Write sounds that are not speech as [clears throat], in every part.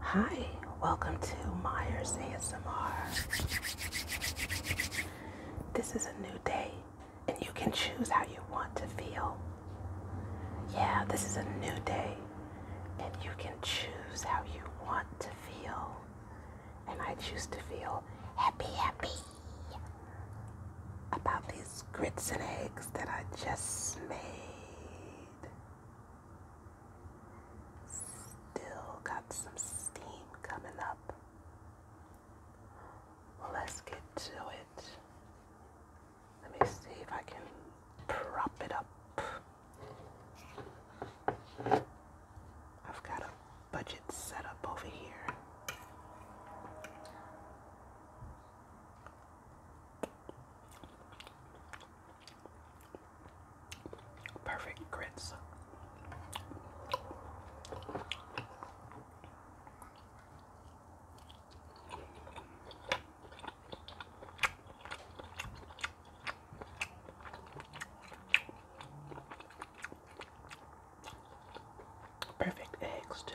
Hi, welcome to Myers ASMR. This is a new day, and you can choose how you want to feel. Yeah, this is a new day, and you can choose how you want to feel. And I choose to feel happy, happy about these grits and eggs that I just made. Still got some steam coming up. let's get to it. Let me see if I can prop it up. I've got a budget set up over here. Perfect grits. Perfect eggs, too.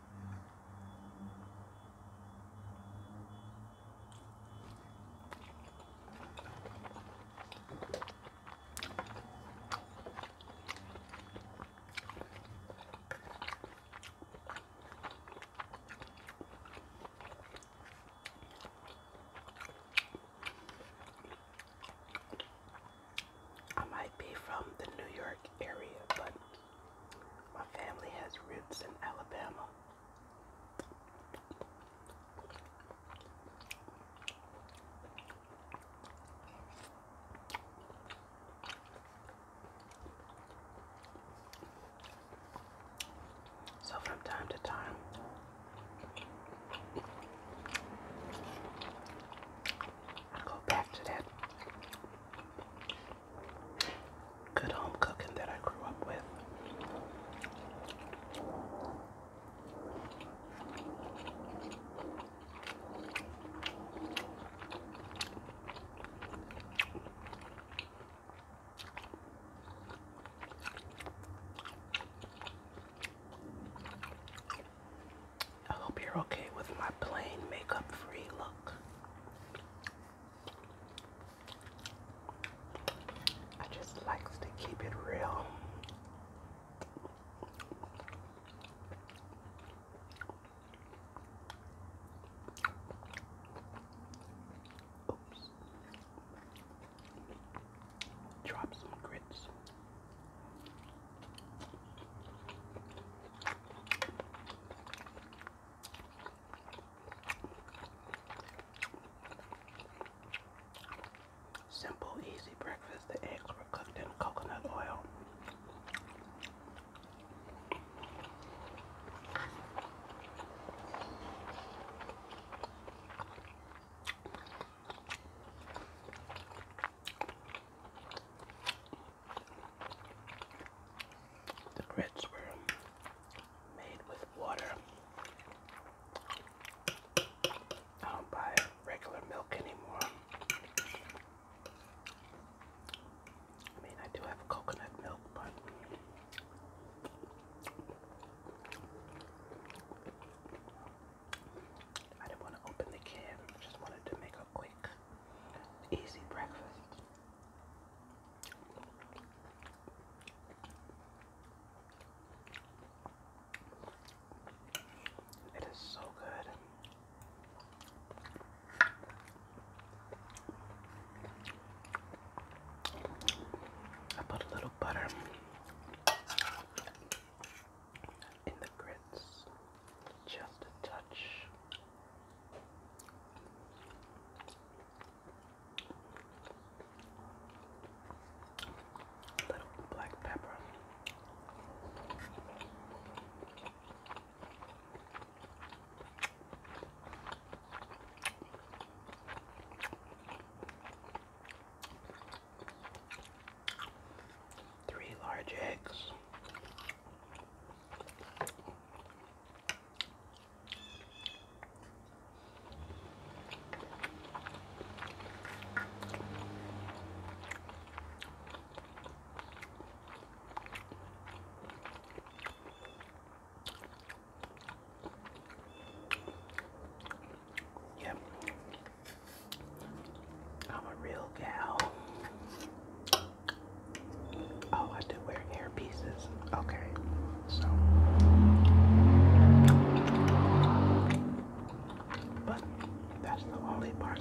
I might be from the New York area, but my family has roots in Alabama. So from time to time, I go back to that good home cooking that I grew up with. I hope you're okay with my plain makeup free look. I just like to keep it real. Oops. Drop some grits. Simple, easy breakfast. The eggs were cooked in coconut oil. The grits were made with water. I don't buy regular milk anymore. I mean, I do have coconut milk, but I didn't want to open the can. just wanted to make a quick, easy breakfast. It is so good. I put a little butter in the grits, just a touch. little black pepper. Three large eggs. Yep. I'm a real gal. Oh, I do wear earpieces. Okay. So. But that's the only part.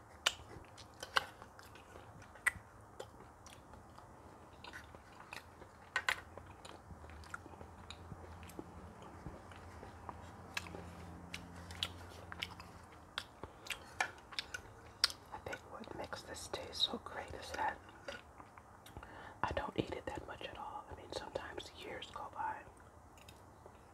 I think what makes this taste so great is that I don't eat it that much at all. I mean, sometimes years go by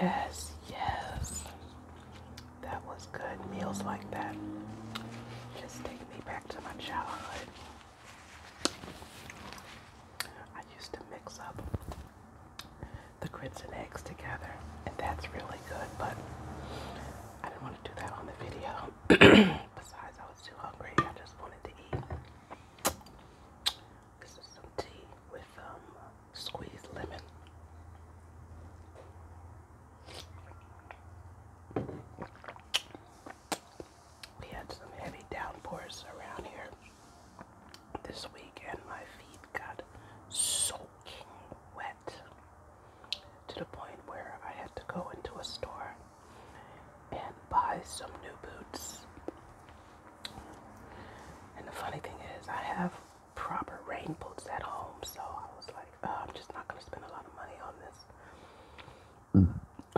Yes, yes. That was good. Meals like that just take me back to my childhood. I used to mix up the grits and eggs together, and that's really good, but I didn't want to do that on the video. [clears throat] Besides, I was too hungry. I just wanted to eat. This is some tea with um, squeezed lemon. We had some heavy downpours around here this week, and my feet got soaking wet to the point where I had to go into a store and buy some new boots. And the funny thing is, I have proper rain boots at home, so I was like, oh, I'm just not going to spend a lot of money on this.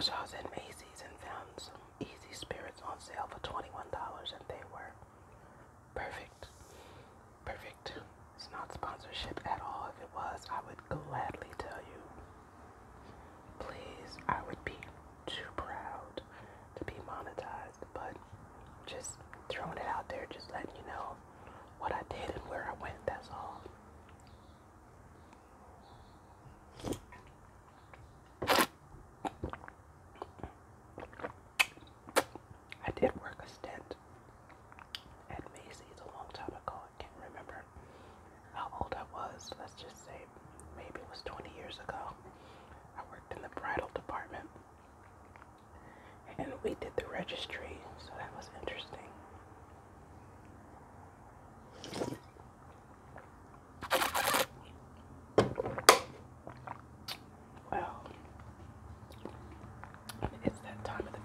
So I was in Macy's and found some Easy Spirits on sale for $21, and they were perfect. Perfect. It's not sponsorship at all. If it was, I would gladly tell you Please, I would be too proud to be monetized, but just throwing it out there, just letting you know what I did and where I went, that's all. I did work a stint at Macy's a long time ago. I can't remember how old I was, let's just say maybe it was 20 years ago. I worked in the bridal department and we did the registry, so that was interesting. Well, it's that time of the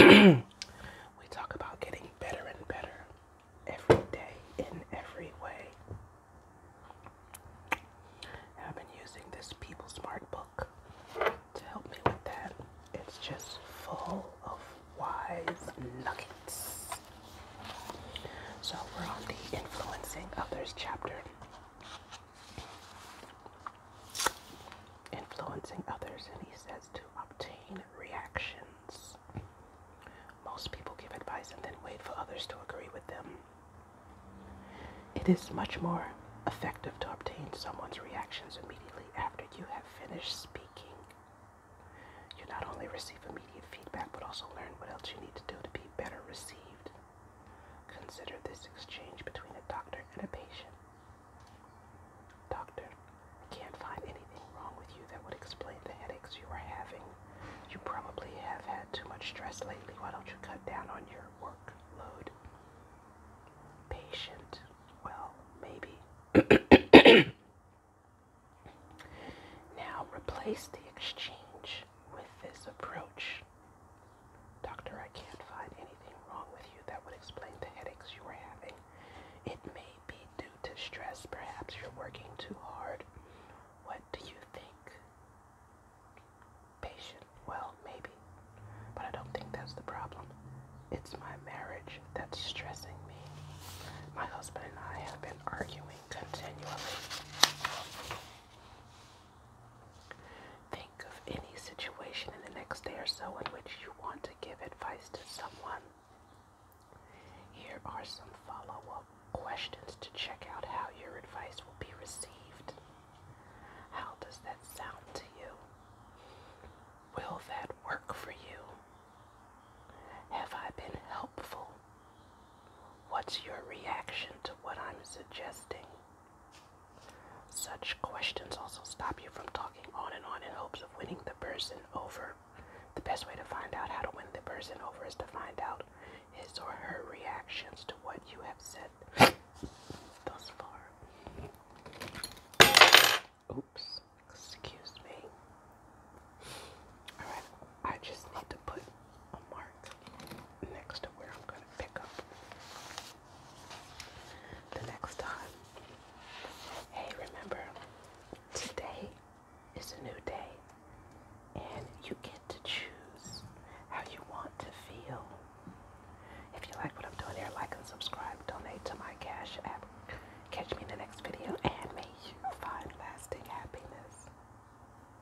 video where [clears throat] we talk about getting better and better every day in every way. I've been using this People Smart book to help me with that. It's just full of wise nuggets. So we're on the Influencing Others chapter influencing others, and he says to obtain reactions. Most people give advice and then wait for others to agree with them. It is much more effective to obtain someone's reactions immediately after you have finished speaking. You not only receive immediate feedback, but also learn what else you need to do to be better received. Consider this exchange between a doctor and a patient. Doctor, I can't find anything wrong with you that would explain the headaches you are having. You probably have had too much stress lately. Why don't you cut down on your workload? Patient. Well, maybe. [coughs] now replace the exchange with this approach. Doctor, I can't find anything wrong with you that would explain the headaches you are having. It may be due to stress. Perhaps you're working too hard. What do you think? Patient. Well, maybe. But I don't think that's the problem. It's my marriage that's stressing me. My husband and I have been arguing continually. Think of any situation in the next day or so in which you want to give advice to someone. Here are some follow up questions to check out how your advice will be received. How does that sound to you? Will that work for you? Have I been helpful? What's your reaction to what I'm suggesting? Such questions also stop you from talking on and on in hopes of winning the person over. The best way to find out how to win the person over is to find out his or her reactions to what you have said thus far. Oops, excuse me. Alright, I just need to put a mark next to where I'm going to pick up the next time. Hey, remember, today is a new day, and you get to choose how you want to feel. If you like what I'm doing here, like and subscribe, donate to my Cash App. Catch me in the next video, and may you find lasting happiness.